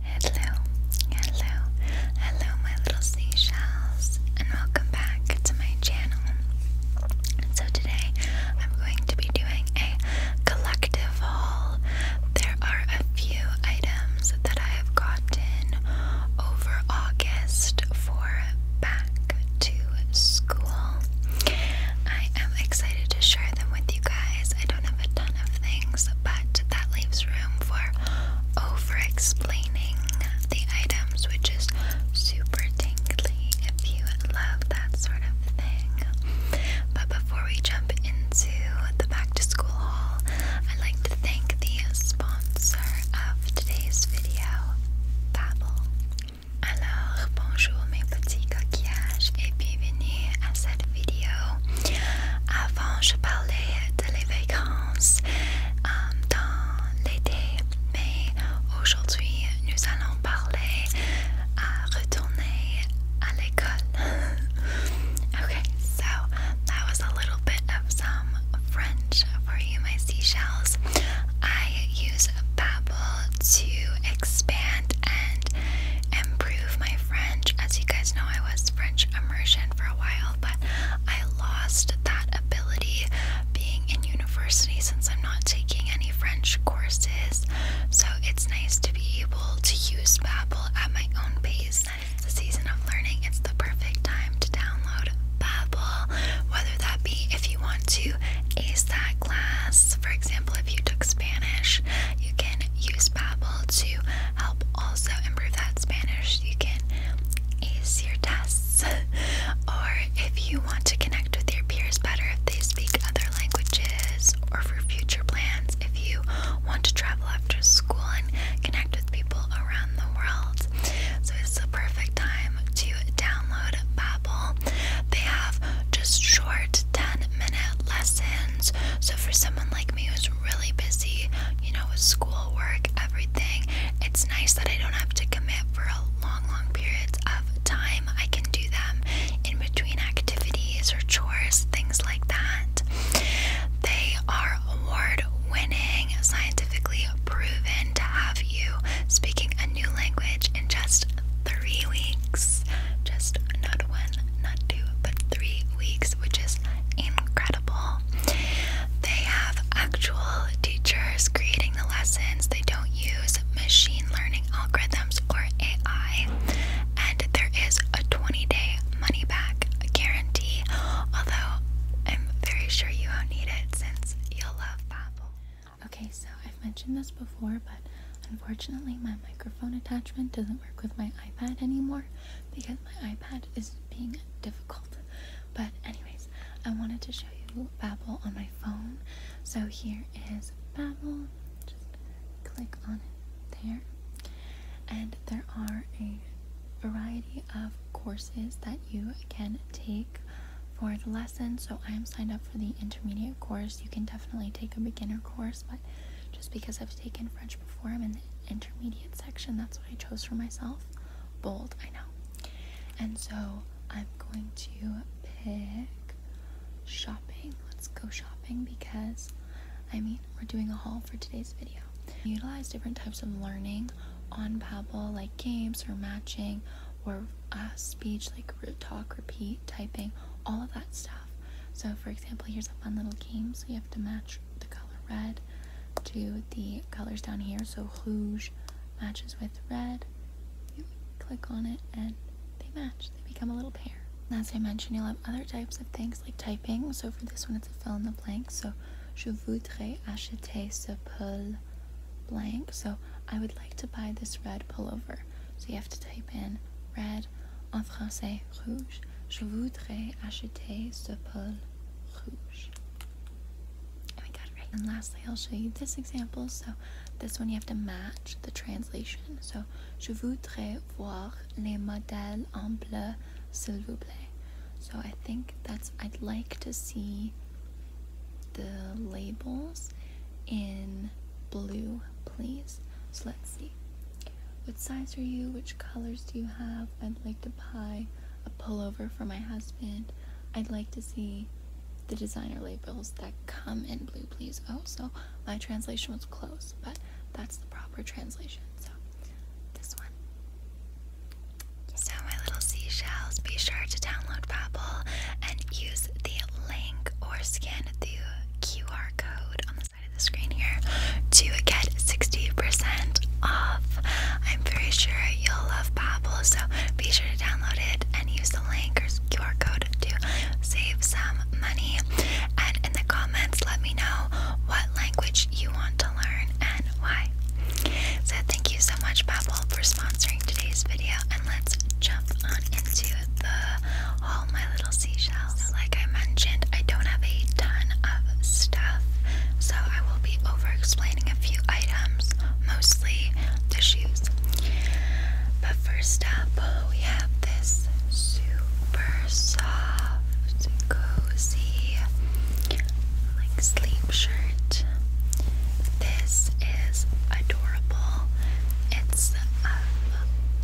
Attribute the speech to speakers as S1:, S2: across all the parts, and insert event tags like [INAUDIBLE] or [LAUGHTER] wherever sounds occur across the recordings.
S1: Hello, hello, hello, my little seashells, and welcome back to my channel. So, today I'm going to be doing a collective haul. There are a few items that I have gotten over August for back to school. I am excited to share them with you guys. I don't have a ton of things, but that leaves room for over explaining the items, which is super tingly if you love that sort of thing. But before we jump into the back to school haul, I'd like to thank the sponsor of today's video, Babbel. Alors, bonjour mes petits coquillages et bienvenue à cette cette vidéo. Avant, je parlais de les vacances um, euh, dans l'été, mais aujourd'hui, nous allons parler à uh, retourner à l'école. [LAUGHS] okay, so that was a little bit of some French for you, my seashells. I use Babbel to expand and improve my French. As you guys know, I was French immersion for a while, but I lost that ability being in university since I'm not taking any French courses. So it's nice to be able to use Babbel at my own pace. It's the season of learning. It's the perfect time to download Babbel, whether that be if you want to ace that class. For example, if you took Spanish, you can use Babbel to help also improve that Spanish. You can ace your tests, [LAUGHS] or if you want to connect with your peers better if they speak other languages, or for future plans, if you want to travel after school and connect with people around the world. So it's the perfect time to download Babbel. They have just short 10 minute lessons so for someone like me who's really busy, you know, with schoolwork, everything, it's nice that I don't have to commit for a long, long periods of time. I can do them in between activities or chores, things like that. They are award-winning, scientifically proven to have you speaking a new language in just three weeks. Just not one, not two, but three weeks, which is incredible. They have actual teachers creating the lessons, they don't use machine learning algorithms or AI, and there is a 20 day money back guarantee, although I'm very sure you won't need it since you'll love Babbel. Okay, so I've mentioned this before, but unfortunately my microphone attachment doesn't work with my iPad anymore because my iPad is being difficult. But anyways, I wanted to show you Babbel on my phone. So here is Babbel. Just click on it there. And there are a variety of courses that you can take for the lesson. So I am signed up for the intermediate course. You can definitely take a beginner course, just because I've taken French before, I'm in the intermediate section. That's what I chose for myself. Bold, I know. And so I'm going to pick shopping. Let's go shopping because, I mean, we're doing a haul for today's video. Utilize different types of learning on Babbel, like games or matching or uh, speech, like talk, repeat typing, all of that stuff. So, for example, here's a fun little game. So, you have to match the color red to the colors down here. So, rouge matches with red. You click on it and they match, they become a little pair. as I mentioned, you'll have other types of things like typing. So, for this one, it's a fill in the blank. So, je voudrais acheter ce pull blank. So, I would like to buy this red pullover. So, you have to type in red en français rouge. Je voudrais acheter ce pull rouge. Oh and lastly, I'll show you this example. So this one you have to match the translation. So je voudrais voir les modèles en bleu, s'il vous plaît. So I think that's I'd like to see the labels in blue, please. So let's see. What size are you? Which colors do you have? I'd like to buy a pullover for my husband. I'd like to see the designer labels that come in blue, please. Oh, so my translation was close, but that's the proper translation. So this one. So, my little seashells, be sure to download Babbel and use the link or scan the QR code on the the screen here to get 60% off. I'm very sure you'll love Babbel, so be sure to download it and use the link or QR code to save some money. And in the comments, let me know what language you want to learn and why. So thank you so much, Babbel, for sponsoring today's video, and let's jump on into the all my little seashells. Like I mentioned, I don't have a ton of stuff, so I will be over explaining a few items, mostly the shoes. But first up, we have this super soft, cozy, like sleep shirt. This is adorable. It's a uh,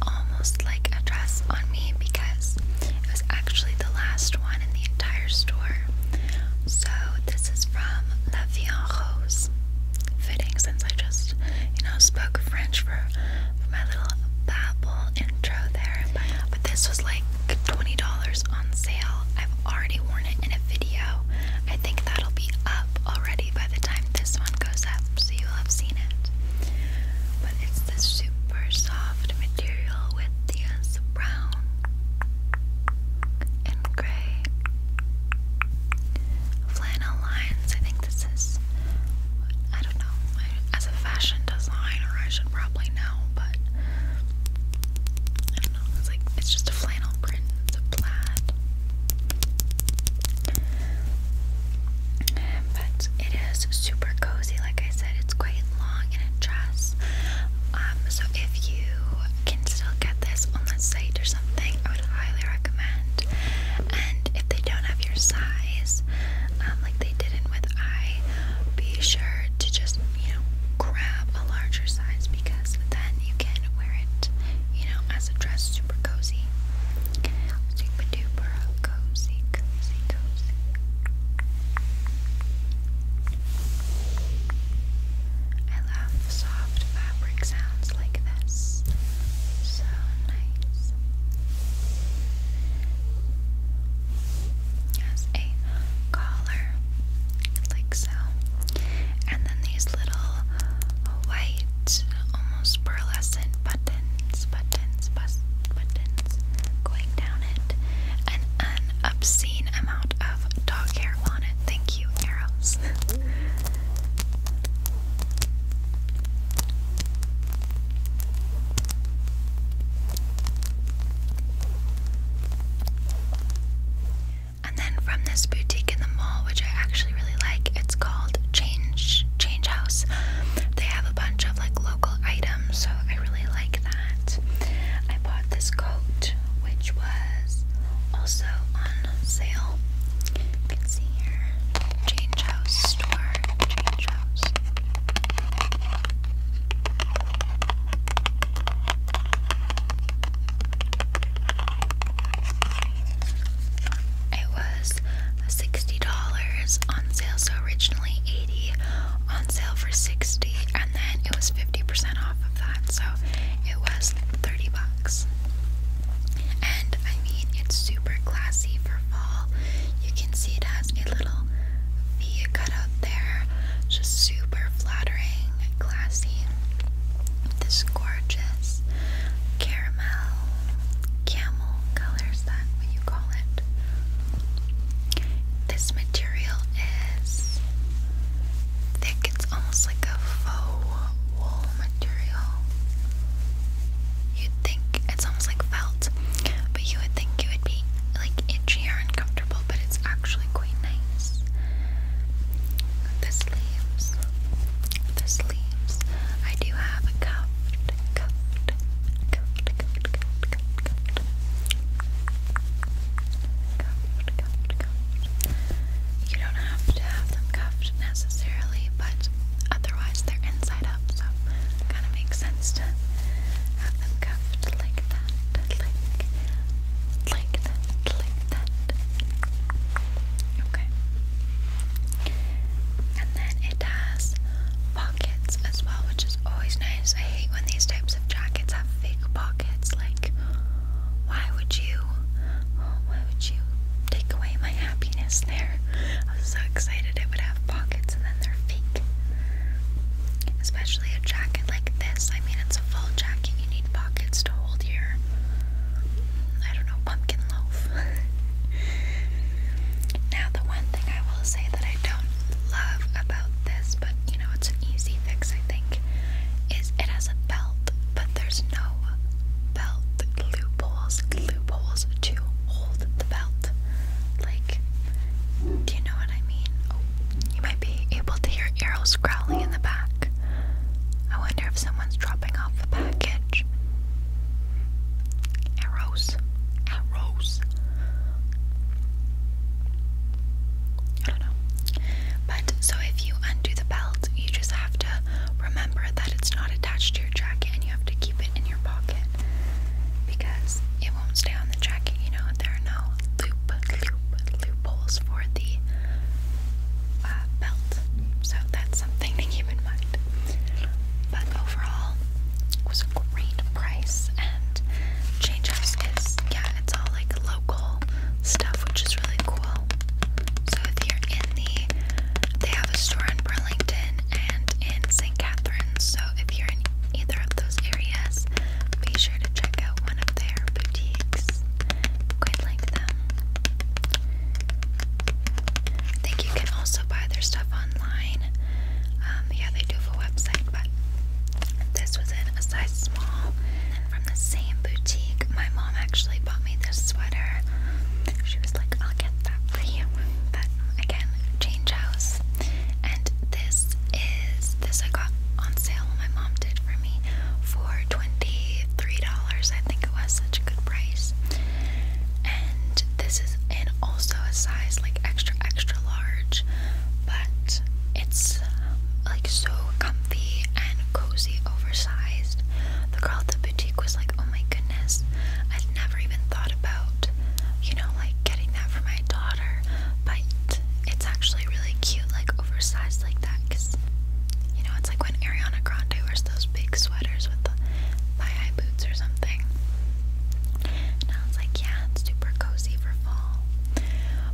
S1: almost like a dress on me because it was actually the last one in the entire store. So this is from La Vie en Rose. Fitting since I just, you know, spoke French for, my little babble intro there. but this was like $20 on sale. I've already worn it in a video. I think that'll be up already by the time this one goes up, so you'll have seen it but it's the super soft material with the uh, brown and gray flannel lines. I think this is, I don't know, as a fashion designer, I should probably know, but I don't know. It's like, it's just a flannel print, it's a plaid. But it is super cozy. Like I said, it's quite long and a dress. Um, so if you can still get this on the site or something, I would highly recommend. And if they don't have your size, um, like they didn't with I, be sure to just you know grab a larger size because then you can wear it, you know, as a dress super cozy. Super duper cozy, cozy, cozy. I love soft fabric sounds like this. So nice. Has a collar, like so. And then these little white, um, almost pearlescent buttons, buttons, bus buttons going down it, an obscene amount of dog hair on it. Thank you, arrows. [LAUGHS] And then from this boutique in the mall, which I actually like. It's called Change Change House. They have a bunch of like local items, so I really like that. I bought this coat, which was also on sale. You can see here, Change House store, Change House. It was $60 on sale, so originally 80 on sale for 60 and then it was 50% off of that, so it was 30 bucks. And I mean, it's super classy for fall. You can see it has a little V cut out there, just super flattering, classy. This gorgeous caramel camo camel that what you call it? This material is thick, it's almost like a faux wool material. You'd think it's almost like felt, but you would think it would be like itchy or uncomfortable, but it's actually quite nice. The sleeves the sleeves. I do have a cuffed, cuffed, cuffed, cuffed, cuffed, cuffed, cuffed. Cuffed, cuffed, cuffed. You don't have to have them cuffed necessarily, but otherwise they're inside up, so kind of makes sense to have them cuffed like that, like that, like that. Okay. And then it has pockets as well, which is always nice. I hate when these types of jackets have fake pockets. Like, why would you? Why would you take away my happiness there? I was so excited it would have pockets and then they're fake. Especially a jacket like this. I mean, it's a full jacket. You need pockets to hold your I don't know, pumpkin loaf. [LAUGHS] now, the one thing I will say that I don't love about this, but you know, it's an easy fix, I think, is it has a belt, but there's no belt loopholes, loopholes to hold the belt. Like, do you know what I mean? Oh, you might be able to hear arrows growling in the back. I wonder if someone's dropping off a package. Arrows. Arrows. I don't know. But so if you undo the belt, you just have to remember that it's not attached to your jacket and you have to keep it in your pocket because it won't stay on the jacket, you know. There are no loop, loop, loopholes for the uh, belt. So that's something to keep in mind but overall it was a great price and Change House is yeah, it's all like local stuff which is really cool. So if you're in the they have a store in Burlington and in St. Catharines, so if you're in either of those areas, be sure to check out one of their boutiques. Quite like them. I think you can also buy their stuff online. Um, yeah, they do have a website, but this was in a size small from the same boutique. My mom actually bought me this sweater. She was like, I'll get that for you. But again, change house. And this is this I got on sale my mom did for me for $23, I think it was such a good price and this is and also a size like extra extra large but it's um, like so comfy and cozy oversized the girl at the boutique was like oh my goodness I'd never even thought about you know like getting that for my daughter but it's actually really cute like oversized like that because you know it's like when Ariana Grande wears those big sweaters with thigh-high boots or something. And I was like, yeah, it's super cozy for fall.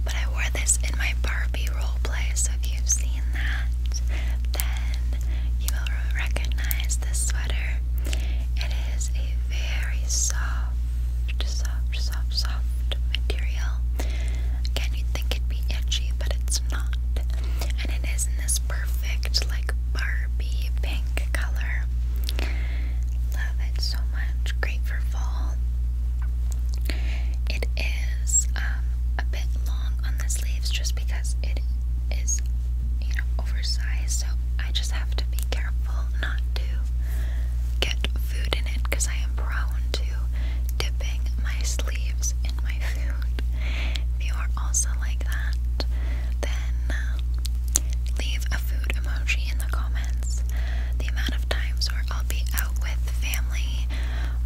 S1: But I wore this in my Barbie role play, so if you've seen that, then you will recognize this sweater. It is a very soft, soft, soft, soft material. Again, you think it'd be itchy, but it's not. And it is this perfect, like Barbie pink color. Love it so much. Great for fall. It is um, a bit long on the sleeves just because it is, you know, oversized. So I just have to be careful not to get food in it because I am prone to dipping my sleeves if you are also like that, then um, leave a food emoji in the comments. The amount of times where I'll be out with family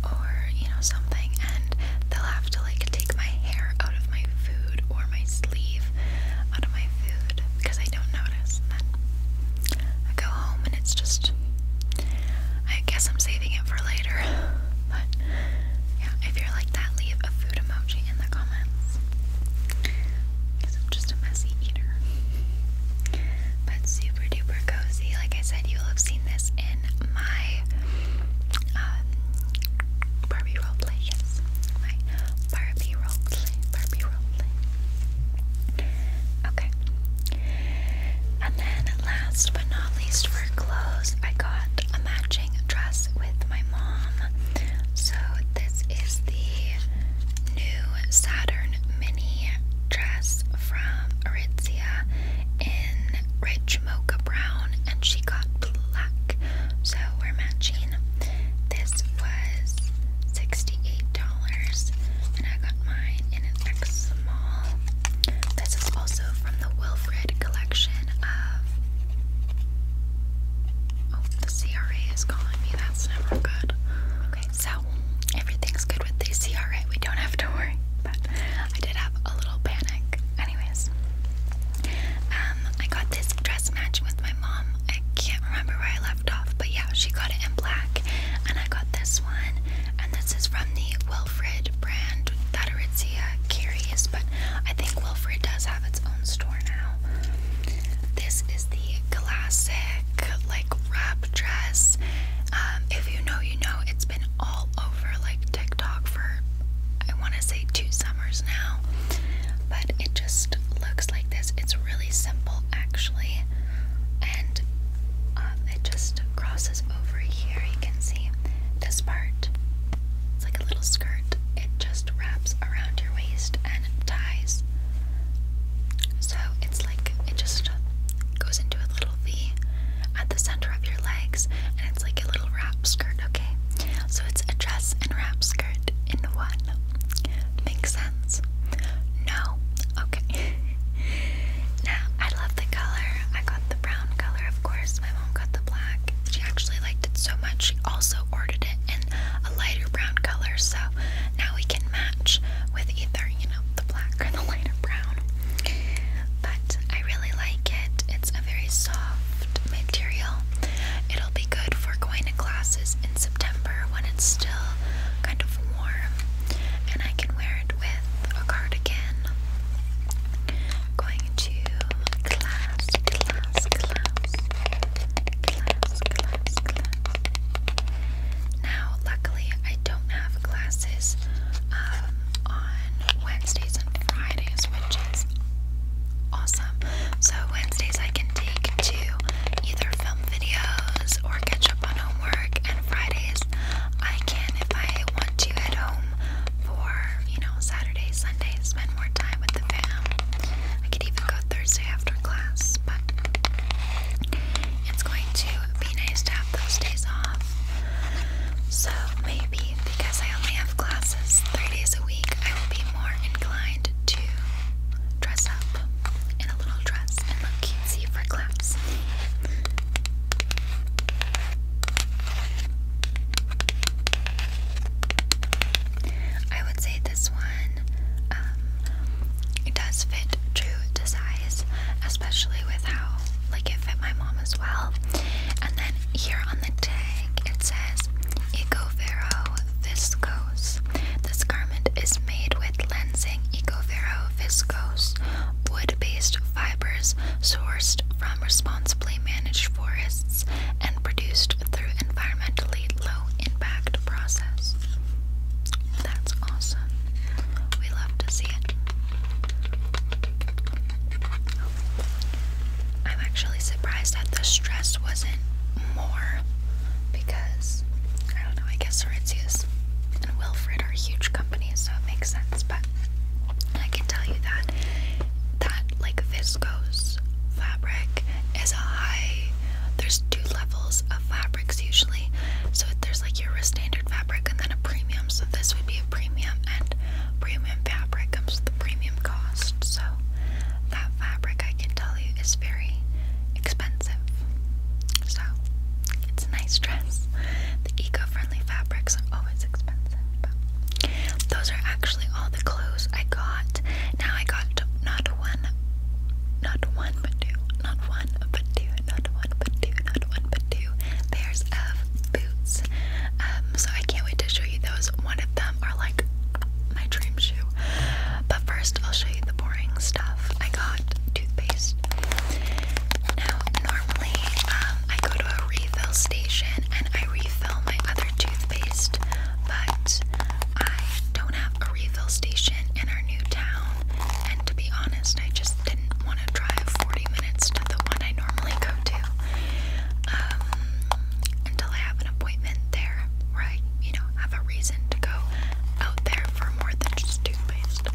S1: or, you know, something and they'll have to like take my hair out of my food or my sleeve out of my food because I don't notice. I go home and it's just. I guess I'm saving it for later. [LAUGHS] But yeah, if you're like that, leave a food emoji in the comments. Because I'm just a messy eater. But super duper cozy. Like I said, you'll have seen this in my um, Barbie roleplay. Yes, my Barbie roleplay. Barbie roleplay. Okay. And then last but not least for clothes, I got a matching dress with my mom. So this is the new Saturn mini dress from Aritzia in rich mocha brown and she got black. So we're matching. This was $68 and I got mine in an X small. This is also from the Wilfred collection. Oh, the CRA is calling me. That's never good. Okay, so everything's good with the CRA. We don't have to worry. But I did have a little panic. Anyways, um, I got this dress match with my mom. I can't remember where I left off, but yeah, she got it in black, and I got this one. And this is from the Will Wilfrid brand that Aritzia carries, but I think Wilfrid does have its own store now. This is the classic like wrap dress. Um, if you know, you know, it's been all over like TikTok for I want to say two summers now, but it just looks like this. It's really simple actually, and um, it just crosses over here. You can see this part it's like a little skirt. It just wraps around your waist and ties. So it's like it just goes into a little V at the center of your legs, and it's like a little wrap skirt, okay? So it's a dress and wrap skirt in one. Makes sense? No? Okay. [LAUGHS] now, I love the color. I got brown color, of course. My mom got the black. She actually liked it so much, she also ordered it in a lighter brown color. So now we can match with either, you know, the black or the lighter brown. But I really like it. It's a very soft material. It'll be good for going to classes in September when it's still kind of warm. And I can wear it with a cardigan going to class, class, class, class, class, class. Now, luckily, I don't have classes um, on Wednesdays and Fridays, which is awesome. So, Wednesdays I can take to either film videos or catch up on homework, and Fridays I can, if I want to, at home home for, you know, Saturdays, Sundays, spend more time with the fam. I could even go Thursday after class, but it's going to be nice to have those days off. So maybe because I only have classes three days a week, I will be more inclined to dress up in a little dress and look cutesy for class. I would say this one um, it does fit true to size, especially with how like it fit my mom as well. And then here on the tag it says Ecovero Viscose. This garment is made with lensing Ecovero Viscose wood-based fibers sourced from um, responsibly managed forests and produced through environmentally low impact process. That's awesome. We love to see it. I'm actually surprised that the stress wasn't more because I don't know, I guess Sorentius and Wilfred are huge companies so it makes sense. But I can tell you that that like viscose fabric is a high. There's two levels of fabrics usually. So there's like your standard fabric and then a premium. So this would be a premium, and premium fabric comes with a premium cost. So that fabric I can tell you is very expensive. So it's a nice dress. The eco-friendly fabrics are always expensive. But those are actually all the clothes I got. Now I got not one, not one but two, not one but two, not one but two, not one but two pairs of boots. Um, so I can't wait to show you those. One of them are like my dream shoe. But first, I'll show you the boring stuff. I got toothpaste. Now, normally um, I go to a refill station and I refill my other toothpaste, but I don't have a refill station in our new town. And to be honest, I just didn't want to drive 40 minutes to the one I normally go to um, until I have an appointment there where I, you know, have a reason to go out there for more than just toothpaste.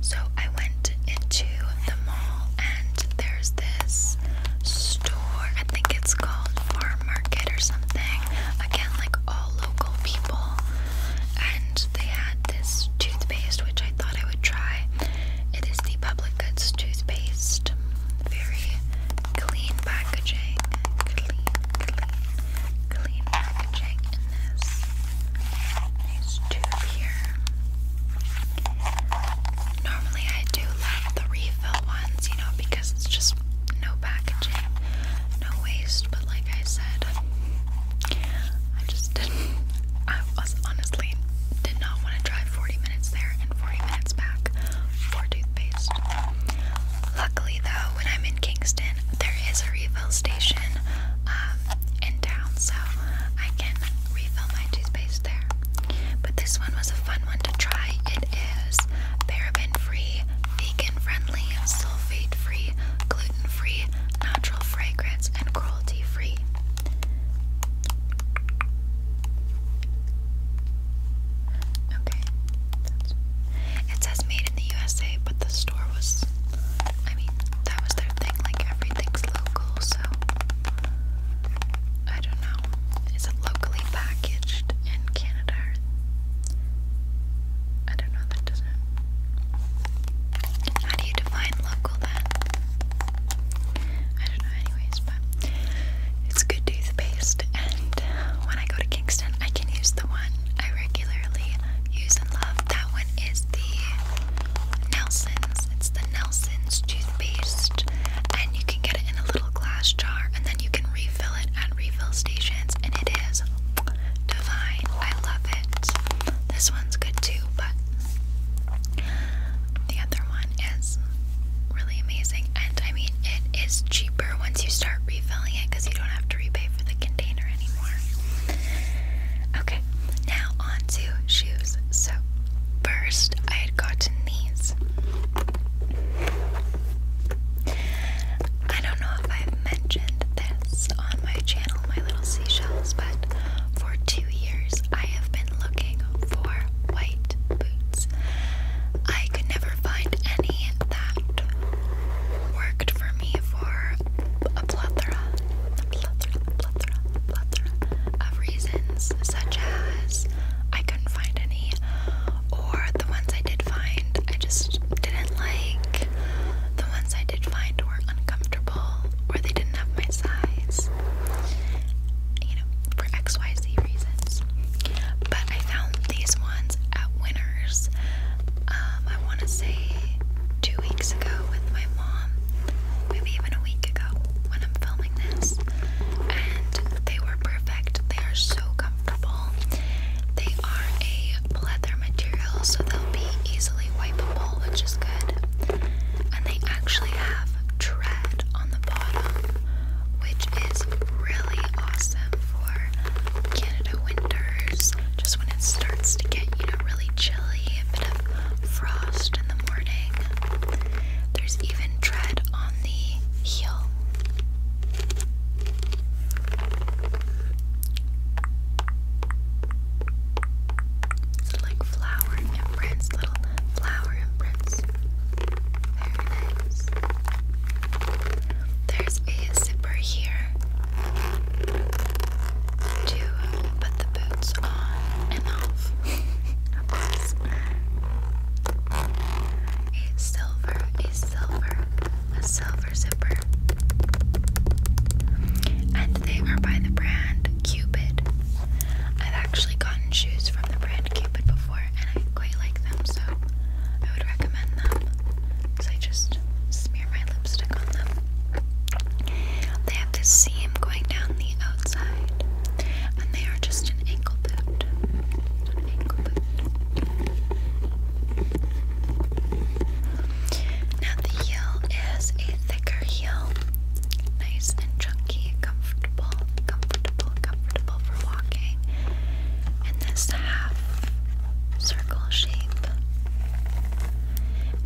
S1: So I went into the mall and there's this store. I think it's called Farm Market or something. Again, like all local people. And they had this toothpaste which I thought I would try. It is the Public Goods toothpaste. Very clean packaging. Clean, clean, clean packaging in this. Nice tube here. Normally, I do love the refill ones, you know, because it's just no packaging, no waste. But like I said, I just didn't. [LAUGHS] I was honestly did not want to drive 40 minutes there and 40 minutes back for toothpaste. Luckily, though, when I'm in Kingston, there is a refill station um, in town, so I can refill my toothpaste there. But this one was a fun one to try. It is paraben free, vegan friendly, sulfate free, gluten free, natural fragrance, and cruelty free. Okay. it says made in the USA, but the store was, I mean, that was their thing, like everything's local, so I don't know. Is it locally packaged in Canada? I don't know, that doesn't. How do you define local then? I don't know, anyways, but it's good toothpaste. And when I go to Kingston, I can use the one I regularly use and love. That one is the Nelson's. It's the Nelson's toothpaste, and you can get it in a little glass jar, and then you can refill it at refill stations, and it is divine. I love it. This one's good too, but the other one is really amazing. And I mean, it is cheaper once you start refilling it because you don't have to repay for the container anymore. Okay now on shoes. So, first, I had gotten these. I don't know if I've mentioned this on my channel, My Little Seashells, but for two years I have been looking for white boots. I could never find any that worked for me for a plethora of reasons, such as I couldn't find any, or the ones I did find I just didn't like, the ones I did find were uncomfortable, or they didn't have my size, you know, for XYZ reasons. But I found these ones at Winners, um, I want to say two weeks ago with my mom, maybe even a week ago when I'm filming this, and they were perfect. They are so comfortable. They are a leather material, so they'll be easily wipeable, which is good. And they actually have tread on the bottom, which is really awesome for Canada winters, just when it starts to get, you know, really chilly, a bit of frost in the morning. There's even tread on the heel. It's like flower imprints, little flower imprints. Very nice. There's a zipper here to put the boots on a silver a silver a silver zipper and they are by the brand Cupid I've actually gotten shoes from the brand Cupid before and I quite like them so I would recommend them because I just smear my lipstick on them they have this seam going down the outside, and they are just an ankle boot. An ankle boot. Now the heel is a thicker heel, nice and chunky, comfortable, comfortable, comfortable for walking. And this half circle shape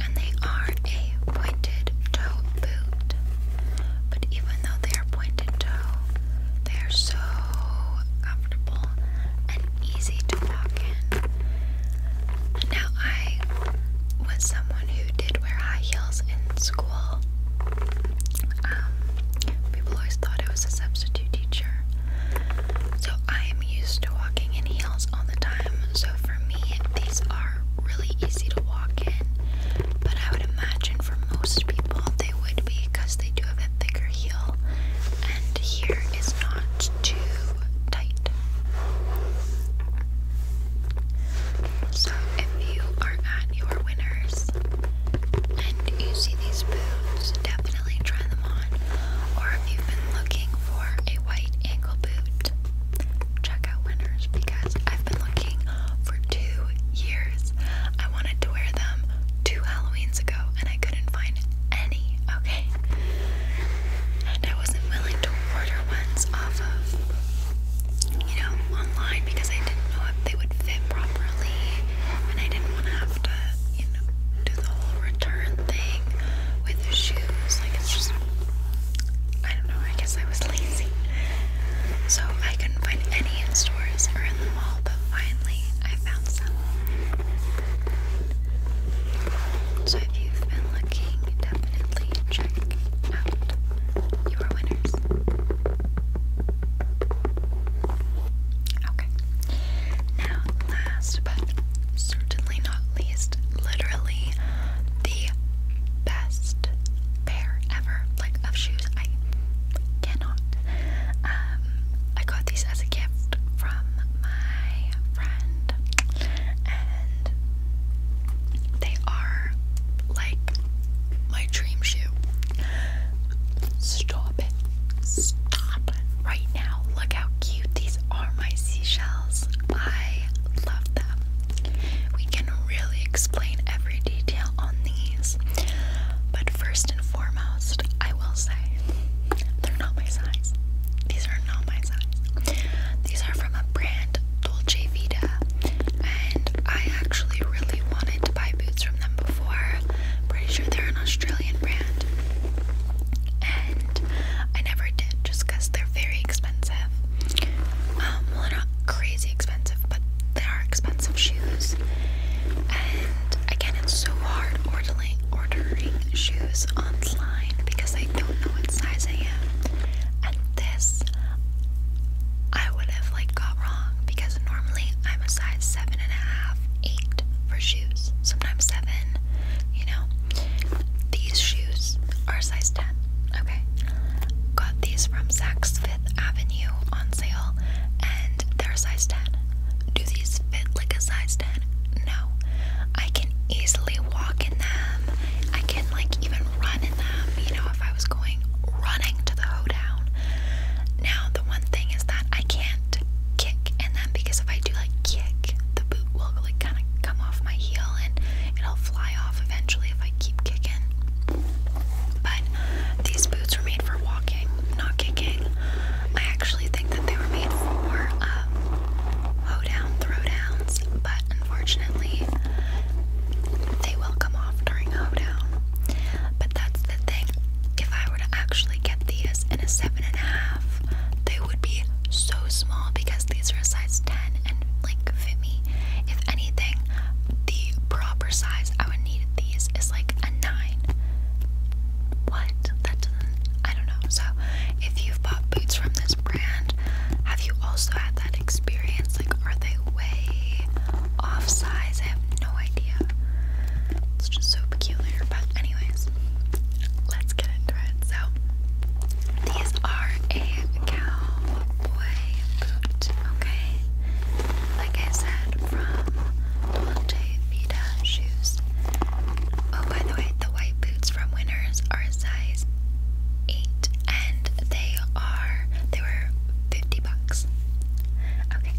S1: and they are a pointed toe boot. But even though they are pointed toe, they are so comfortable and easy to walk in. Now, I was someone who did wear high heels in school. Um, people always thought I was a substitute teacher. So I am used to walking in heels all the time. So for me, these are are really easy to walk in, but I would imagine for most people they would be because they do have a thicker heel, and here is not too tight. So if you are at your winners and you see these boots, definitely try them on. Or if you've been looking for a white ankle boot, checkout winners because I've been looking for two years. I wanted to wear them two Halloweens ago and I couldn't find any, okay? And I wasn't willing to order ones off of, you know, online because I didn't know if they would fit properly and I didn't want to have to, you know, do the whole return thing with the shoes. Like, it's just I don't know, I guess I was lazy. So I couldn't find any in stores or in the mall, but finally I found some. So if you've been looking, definitely check out your winners. Okay. Now, last but certainly not least, literally the best pair ever, like of shoes. I cannot. Um, I got these as a gift from my friend, and they are like my dream shoe. Stop it! Stop right now! Look how cute these are, my seashells. I love them. We can really explain every detail on these, but first and foremost, I will say they're not my size. These are not my size. These are from a brand, Dolce Vita, and I actually really wanted to buy boots from them before. Pretty sure they're an Australian brand. I never did just because they're very expensive. Um, well, not crazy expensive, but they are expensive shoes. And again, it's so hard ordering, ordering shoes online because I don't know what size I am. And this, I would have like got wrong because normally I'm a size seven and a half, eight for shoes, sometimes seven, you know. These shoes are size 10. Okay. Got these from Saks Fifth Avenue on sale and they're size 10. Do these fit like a size 10? No. I can easily walk in them. I can like even run in them, you know, if I was going running to the hoedown. Now the one thing is that I can't kick in them because if I do like kick, the boot will like kind of come off my heel and it'll fly off eventually if I keep kicking. But these boots were made for walking, not kicking. I actually think that they were made for um, hoedown throwdowns, but unfortunately, they will come off during hoedown. But that's the thing. If I were to actually get these in a seven and a half, they would be so small because these are a size 10 and like fit me. If anything, the proper size I would need these is like a 9. What? That doesn't, I don't know. So, if you've bought boots from this brand, have you also had that experience? Like, are they way off size? I have no idea. It's just so peculiar. But, anyways, let's get into it. So, these are a cowboy boot, okay? Like I said, from Dolce shoes. Oh, by the way, the white boots from Winners are size 8 and they are, they were 50 bucks. Okay.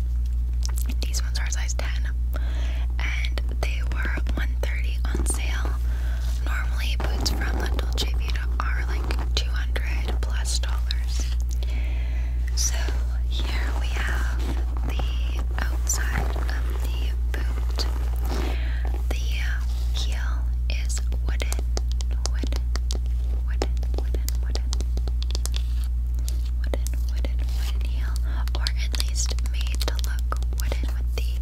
S1: These ones are size 10 and they were 130 on sale Normally, boots from the Dolce Vita are like 200 plus dollars. So here we have the outside of the boot. The heel is wooden, wooden, wooden, wooden, wooden, wooden, wooden, wooden heel, or at least made to look wooden with the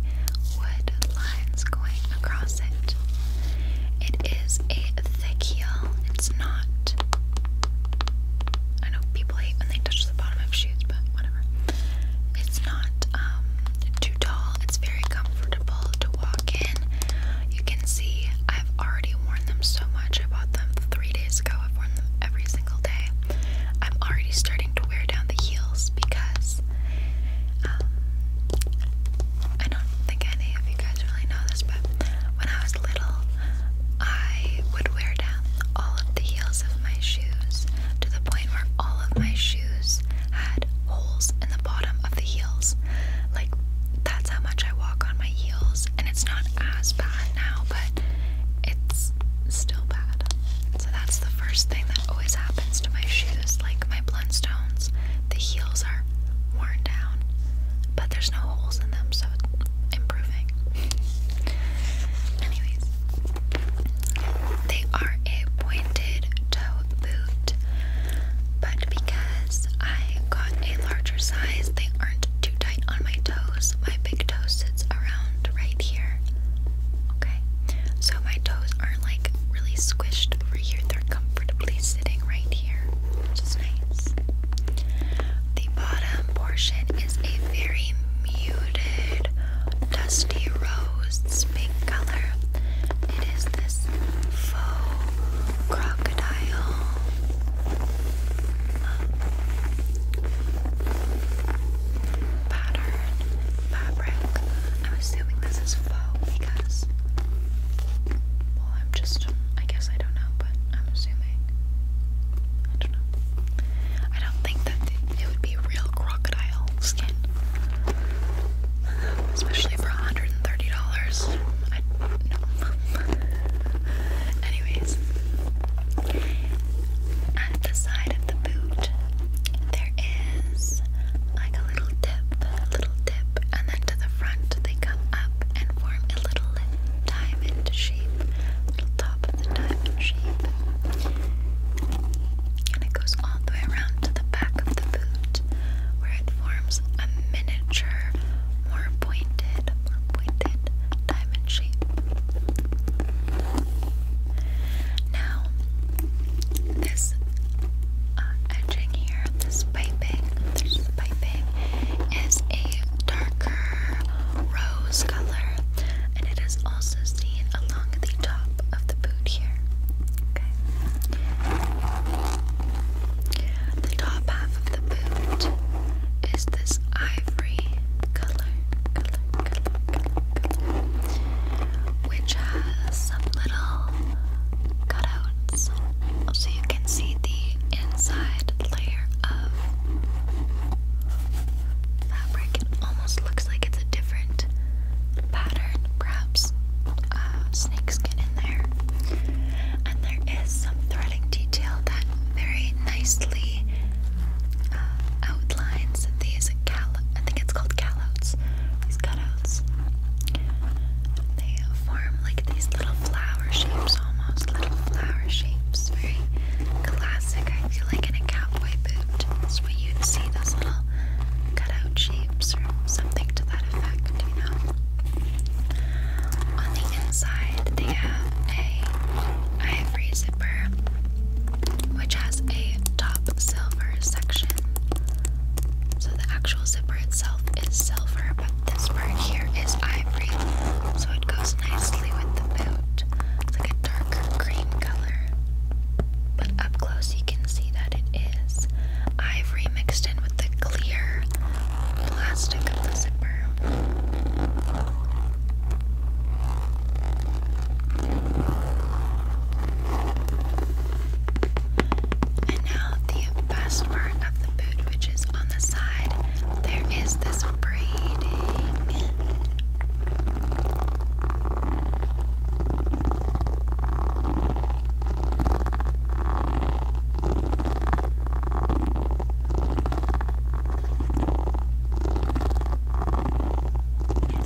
S1: wood lines going across it. It is a thick heel. It's not. I know people hate when they touch the bottom of shoes, but whatever. It's not um, too tall. It's very comfortable to walk in. You can see I've already worn them so much. I bought them three days ago. I've worn them every single day. I'm already starting to wear down the heels because um, I don't think any of you guys really know this, but when I was little, I would wear down all of the heels of my shoes to the point where all of my shoes had holes in the bottom of the heels. Like, that's how much I walk on my heels, and it's not as bad now, but it's still bad. So that's the first thing that always happens to my shoes, like my Blundstones. The heels are worn down, but there's no holes in them, so it's improving. Anyways, they are a pointed toe boot, but because I got a larger size, they aren't too tight on my toes. My big toe sits around right here Okay, so my toes aren't like really squished over here, they're comfortably sitting right here, which is nice. The bottom portion is a very muted, dusty rose pink color. It is this faux crocodile. Um, pattern fabric. I'm assuming this is faux because, well, I'm just, um, I guess I don't know, but I'm assuming. I don't know. I don't think that it would be real crocodile skin, especially for $130. I no. [LAUGHS] Anyways, at the side of the boot, there is like a little dip, little dip, and then to the front they come up and form a little diamond shape, little top of the diamond shape. And it goes all the way around to the back of the boot where it forms a miniature, more pointed, more pointed diamond shape. Now, this uh, edging here, this piping, this piping is a darker rose color, and it is also seen along the top of the boot here. Okay. The top half of the boot is this ivory color which has some little cutouts so you can see the inside layer of fabric. It almost looks like it's a different pattern, perhaps uh, in there. And there is some threading detail that very nicely uh, outlines these. I think it's called callouts. These cutouts. They form like these little flower shapes almost. Little flower shapes. Very classic, I feel like in a cowboy boot. That's what you see, those little cutout shapes or something to that effect, you know. On the inside they have a ivory zipper which has a top silver section. So the actual zipper itself is silver, but this part here is ivory, so it goes nicely with the boot. It's like a darker cream color. But up close, you can see that it is ivory mixed in with the clear plastic of the zipper. And now the best part of the boot, which is on the side, there is this braiding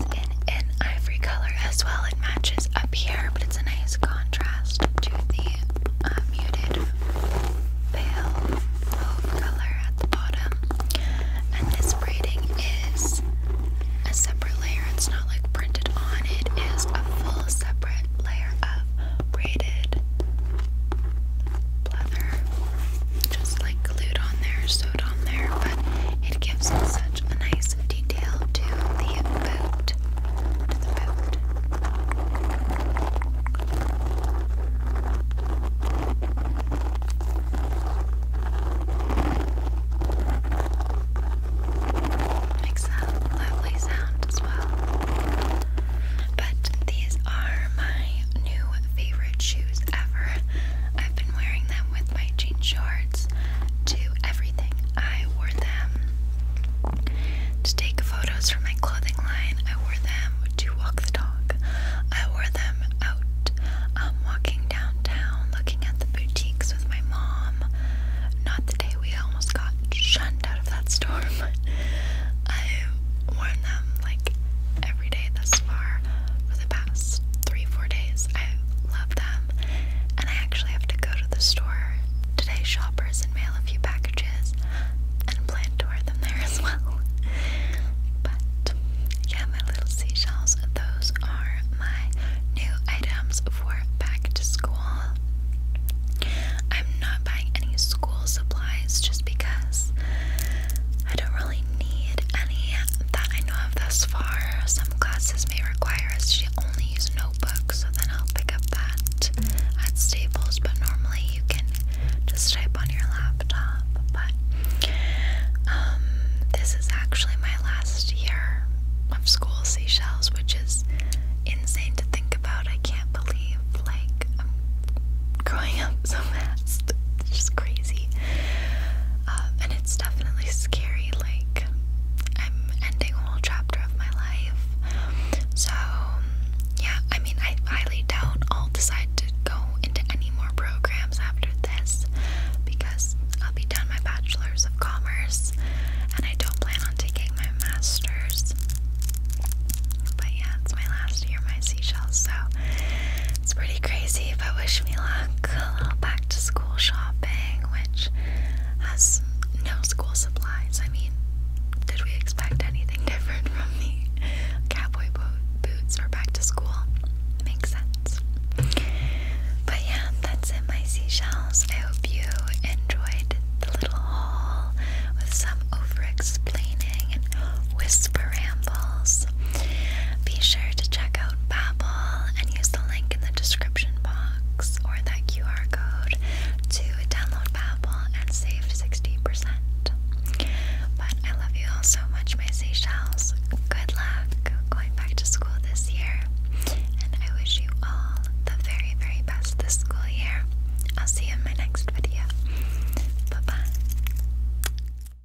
S1: is in ivory color as well. It matches up here, but it's a nice contrast to the uh, muted pale color at the bottom. And this braiding is a separate layer. It's not like printed on. It is a full separate layer of braided leather just like glued on there, sewed on there, but it gives such a nice detail to the boot. To the boot. Makes a lovely sound as well. But these are my new favorite shoes ever. I've been wearing them with my jean shorts to everything. I wore them to take photos for my clothing line. I wore them to walk the dog. I wore them out um, walking downtown, looking at the boutiques with my mom. Not the day we almost got shunned out of that storm. [LAUGHS] I've them like every day thus far for the past three, four days. I love them. And I actually have to go to the store today, shoppers, and mail a few packages and plan to wear them there as well. [LAUGHS] But yeah, my little seashells, those are my new items for back to school. I'm not buying any school supplies just because I don't really need any that I know of thus far. Some classes may require us to only use notebooks, so then I'll pick up that at Staples, but normally you can just type on your laptop. But um, this is actually my last year of school Seychelles, which is insane to think about. I can't believe, like, I'm growing up so fast. [LAUGHS] It's just crazy. Um, and it's definitely scary. Like, I'm ending a whole chapter of my life. So, yeah, I mean, I highly doubt I'll decide to go into any more programs after this because I'll be done my bachelor's of commerce and I don't plan on taking my master's. But yeah, it's my last year, my seashells, so it's pretty crazy, but wish me luck a little back to school shopping, which has no school supplies. I mean, did we expect anything [LAUGHS] different from me? cowboy bo boots or back to school? Makes sense. But yeah, that's it, my seashells. I hope you enjoyed the little haul with some over explaining and whisper rambles. Be sure to check out about and use the link in the description box or that QR code to download Babbel and save 60 But I love you all so much, my Seychelles. Good luck going back to school this year. And I wish you all the very, very best this school year. I'll see you in my next video. Bye bye.